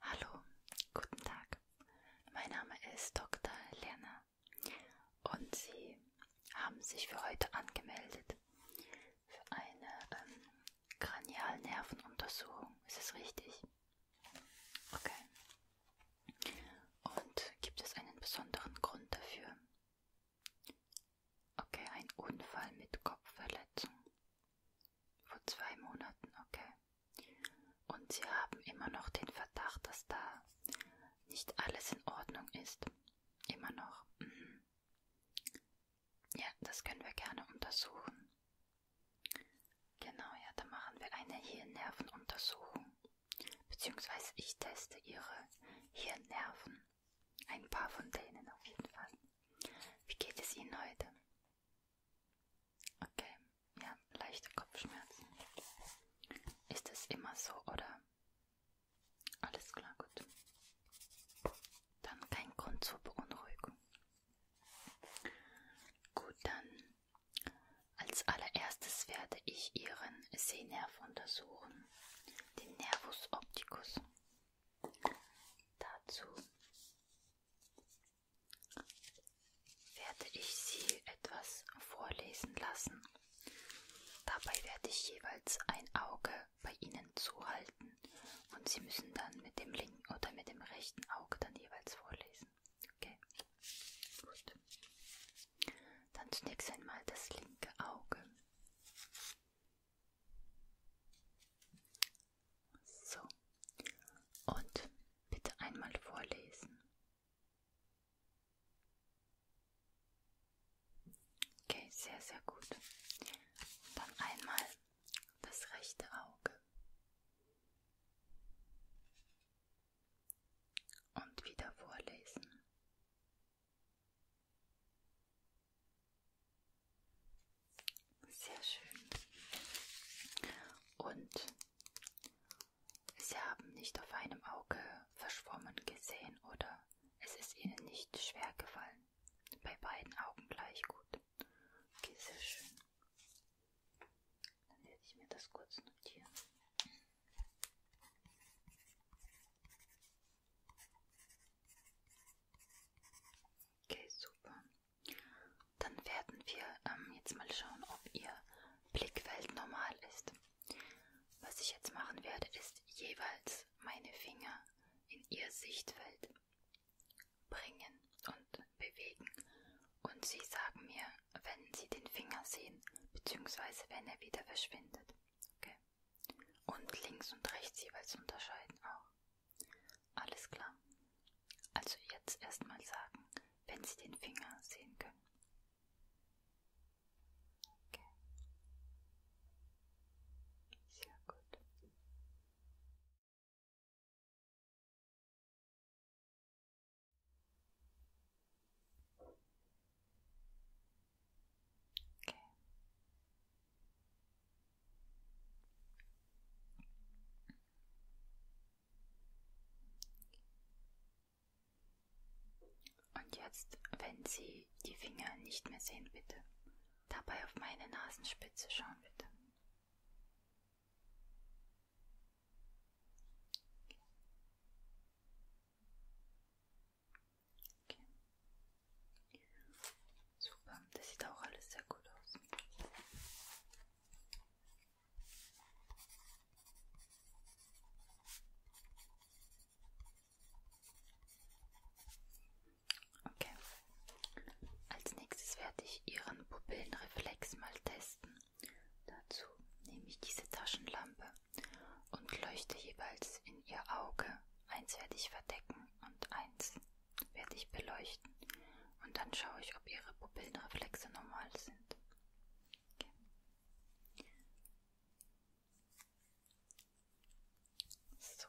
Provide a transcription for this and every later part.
Hallo, guten Tag. Mein Name ist Dr. Lena und Sie haben sich für heute angemeldet für eine ähm, Kranialnervenuntersuchung. Ist es richtig? Okay. Und gibt es einen besonderen Grund dafür? Okay, ein Unfall mit Kopfverletzung. Vor zwei Monaten, okay. Und Sie haben immer noch den Verdacht, dass da nicht alles in Ordnung ist. Immer noch. Mhm. Ja, das können wir gerne untersuchen. Genau, ja, da machen wir eine Hirnnervenuntersuchung. Beziehungsweise ich teste Ihre Hirnnerven. Ein paar von denen auf jeden Fall. Wie geht es Ihnen heute? Okay, wir haben leichte Kopfschmerzen. Ist es immer so, oder? Alles klar, gut. Dann kein Grund zur Beunruhigung. Gut, dann als allererstes werde ich Ihren Sehnerv untersuchen, den Nervus opticus. Dazu werde ich Sie etwas vorlesen lassen. Dabei werde ich jeweils ein Auge bei Ihnen zuhalten und Sie müssen dann mit dem linken oder mit dem rechten Auge dann jeweils vorlesen. Okay? Gut. Dann zunächst einmal das linke Auge. So. Und bitte einmal vorlesen. Okay, sehr, sehr gut. Dann einmal das rechte Auge. Und wieder vorlesen. Sehr schön. Und Sie haben nicht auf einem Auge verschwommen gesehen oder es ist Ihnen nicht schwer gefallen. Bei beiden Augen gleich gut. Okay, sehr schön. Dann werde ich mir das kurz notieren. Okay, super. Dann werden wir ähm, jetzt mal schauen, ob Ihr Blickfeld normal ist. Was ich jetzt machen werde, ist jeweils meine Finger in Ihr Sichtfeld bringen und bewegen. Und Sie sagen mir, wenn Sie den Finger sehen, beziehungsweise wenn er wieder verschwindet. Okay. Und links und rechts jeweils unterscheiden auch. Alles klar. Also jetzt erstmal sagen, wenn Sie den Finger sehen können. Okay. Sehr gut. Okay. Und jetzt, wenn Sie die Finger nicht mehr sehen, bitte, dabei auf meine Nasenspitze schauen, bitte. Okay. Okay. Super, das sieht auch alles sehr gut aus. Okay. Als nächstes werde ich Ihren Pupillenreflex mal testen. Dazu nehme ich diese Taschenlampe und leuchte jeweils in Ihr Auge Eins werde ich verdecken und eins werde ich beleuchten. Und dann schaue ich, ob ihre Pupillenreflexe normal sind. Okay. So.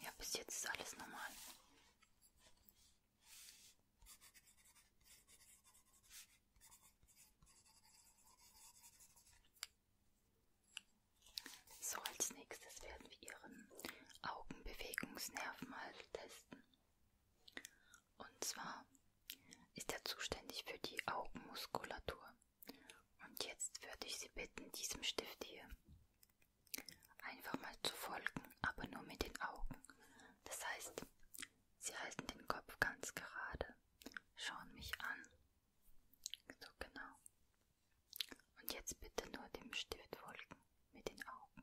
Ja, bis jetzt ist alles normal. So, als nächstes werden wir Ihren Augenbewegungsnerv mal testen. Und zwar ist er zuständig für die Augenmuskulatur. Und jetzt würde ich Sie bitten, diesem Stift hier einfach mal zu folgen, aber nur mit den Augen. Das heißt, Sie halten den Kopf ganz gerade, schauen mich an. So genau. Und jetzt bitte nur dem Stift folgen mit den Augen.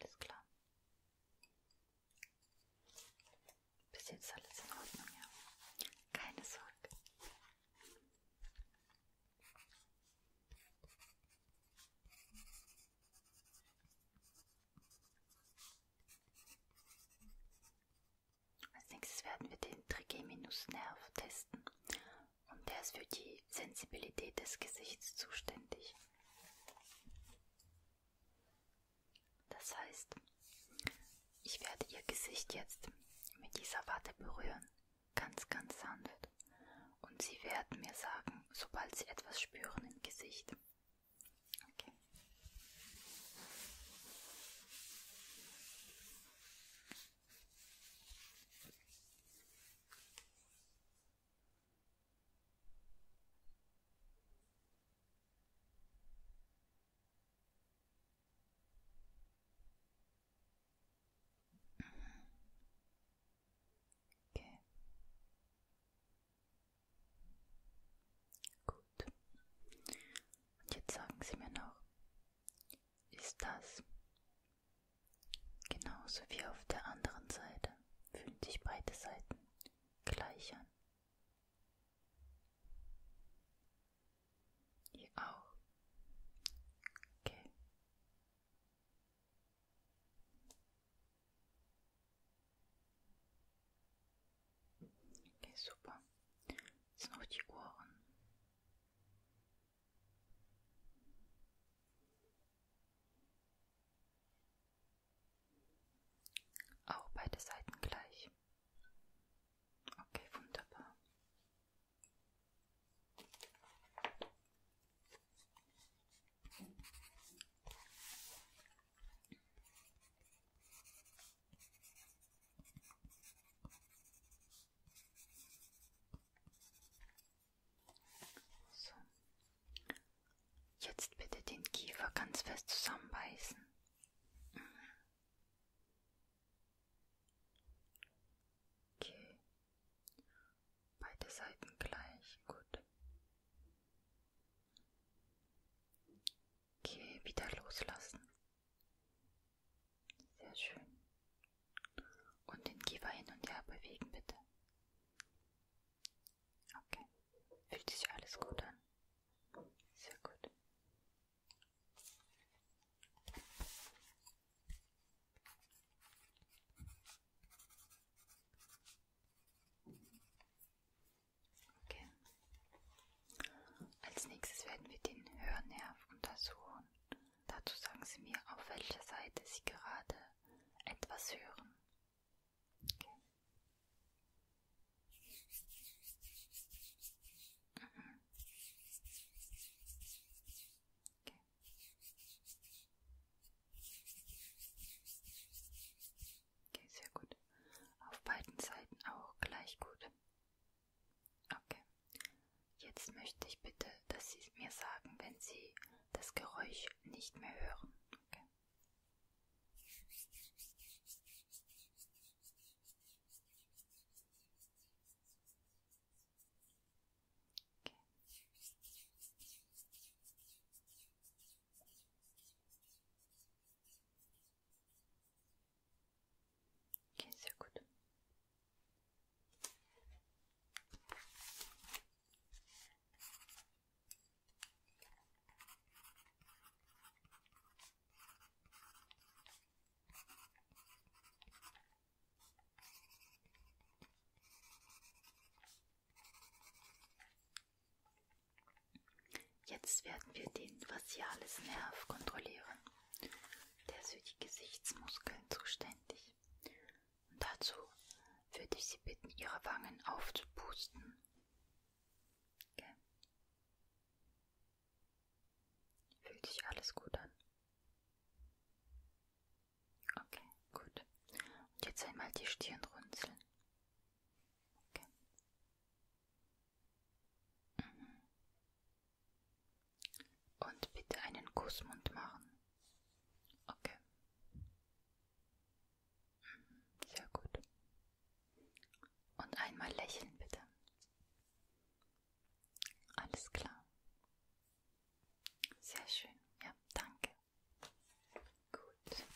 Alles klar. Bis jetzt alles in Ordnung, ja. Keine Sorge. Als nächstes werden wir den Trigeminusnerv testen und der ist für die Sensibilität des Gesichts zuständig. Das heißt, ich werde ihr Gesicht jetzt mit dieser Watte berühren, ganz, ganz sanft. Und sie werden mir sagen, sobald sie etwas spüren im Gesicht. Okay. Okay. Gut. Und jetzt sagen Sie mir noch, ist das Genauso wie auf der anderen Seite fühlen sich beide Seiten gleich an. Hier auch. Okay. Okay, super. Jetzt noch die Ohren. Auch beide Seiten gleich. Okay, wunderbar. So. Jetzt bitte den Kiefer ganz fest zusammenbeißen. Okay. Beide Seiten gleich. Gut. Okay, wieder loslassen. Sehr schön. Und den Kiefer hin und her bewegen, bitte. Okay. Fühlt sich alles gut an? Sehr gut. Okay. Als nächstes werden wir den Hörnerv untersuchen. Dazu sagen Sie mir, auf welcher Seite Sie gerade etwas hören. Okay. Mhm. Okay. Okay, sehr gut. Auf beiden Seiten auch gleich gut. Okay. Jetzt möchte ich bitte, dass Sie mir sagen, wenn Sie das Geräusch nicht mehr hören. Okay. Okay. Okay, sehr gut. Jetzt werden wir den Vasialis Nerv kontrollieren. Der ist für die Gesichtsmuskeln zuständig. Und dazu würde ich Sie bitten, Ihre Wangen aufzupusten. Okay. Fühlt sich alles gut an? Okay, gut. Und jetzt einmal die Stirn runzeln. Okay. Mhm. Und bitte einen Kussmund machen. Okay. Mhm, sehr gut. Und einmal lächeln bitte. Alles klar. Sehr schön. Ja, danke. Gut.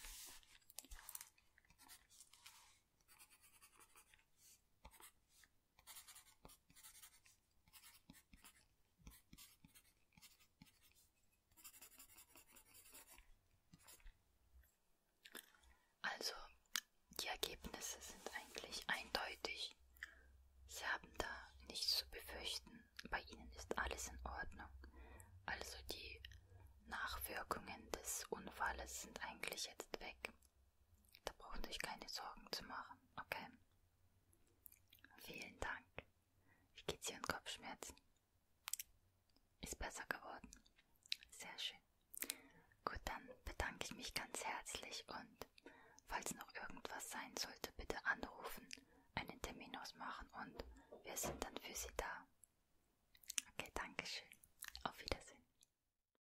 Also, die Ergebnisse sind eigentlich eindeutig. Sie haben da nichts zu befürchten. Bei Ihnen ist alles in Ordnung. Also die Nachwirkungen des Unfalles sind eigentlich jetzt weg. Da brauchen Sie sich keine Sorgen zu machen, okay? Vielen Dank. Wie geht's Ihren Kopfschmerzen? Ist besser geworden. Sehr schön. Gut, dann bedanke ich mich ganz herzlich und falls noch irgendwas sein sollte, bitte anrufen, einen Termin ausmachen und wir sind dann für Sie da. Okay, danke schön. Auf Wiedersehen.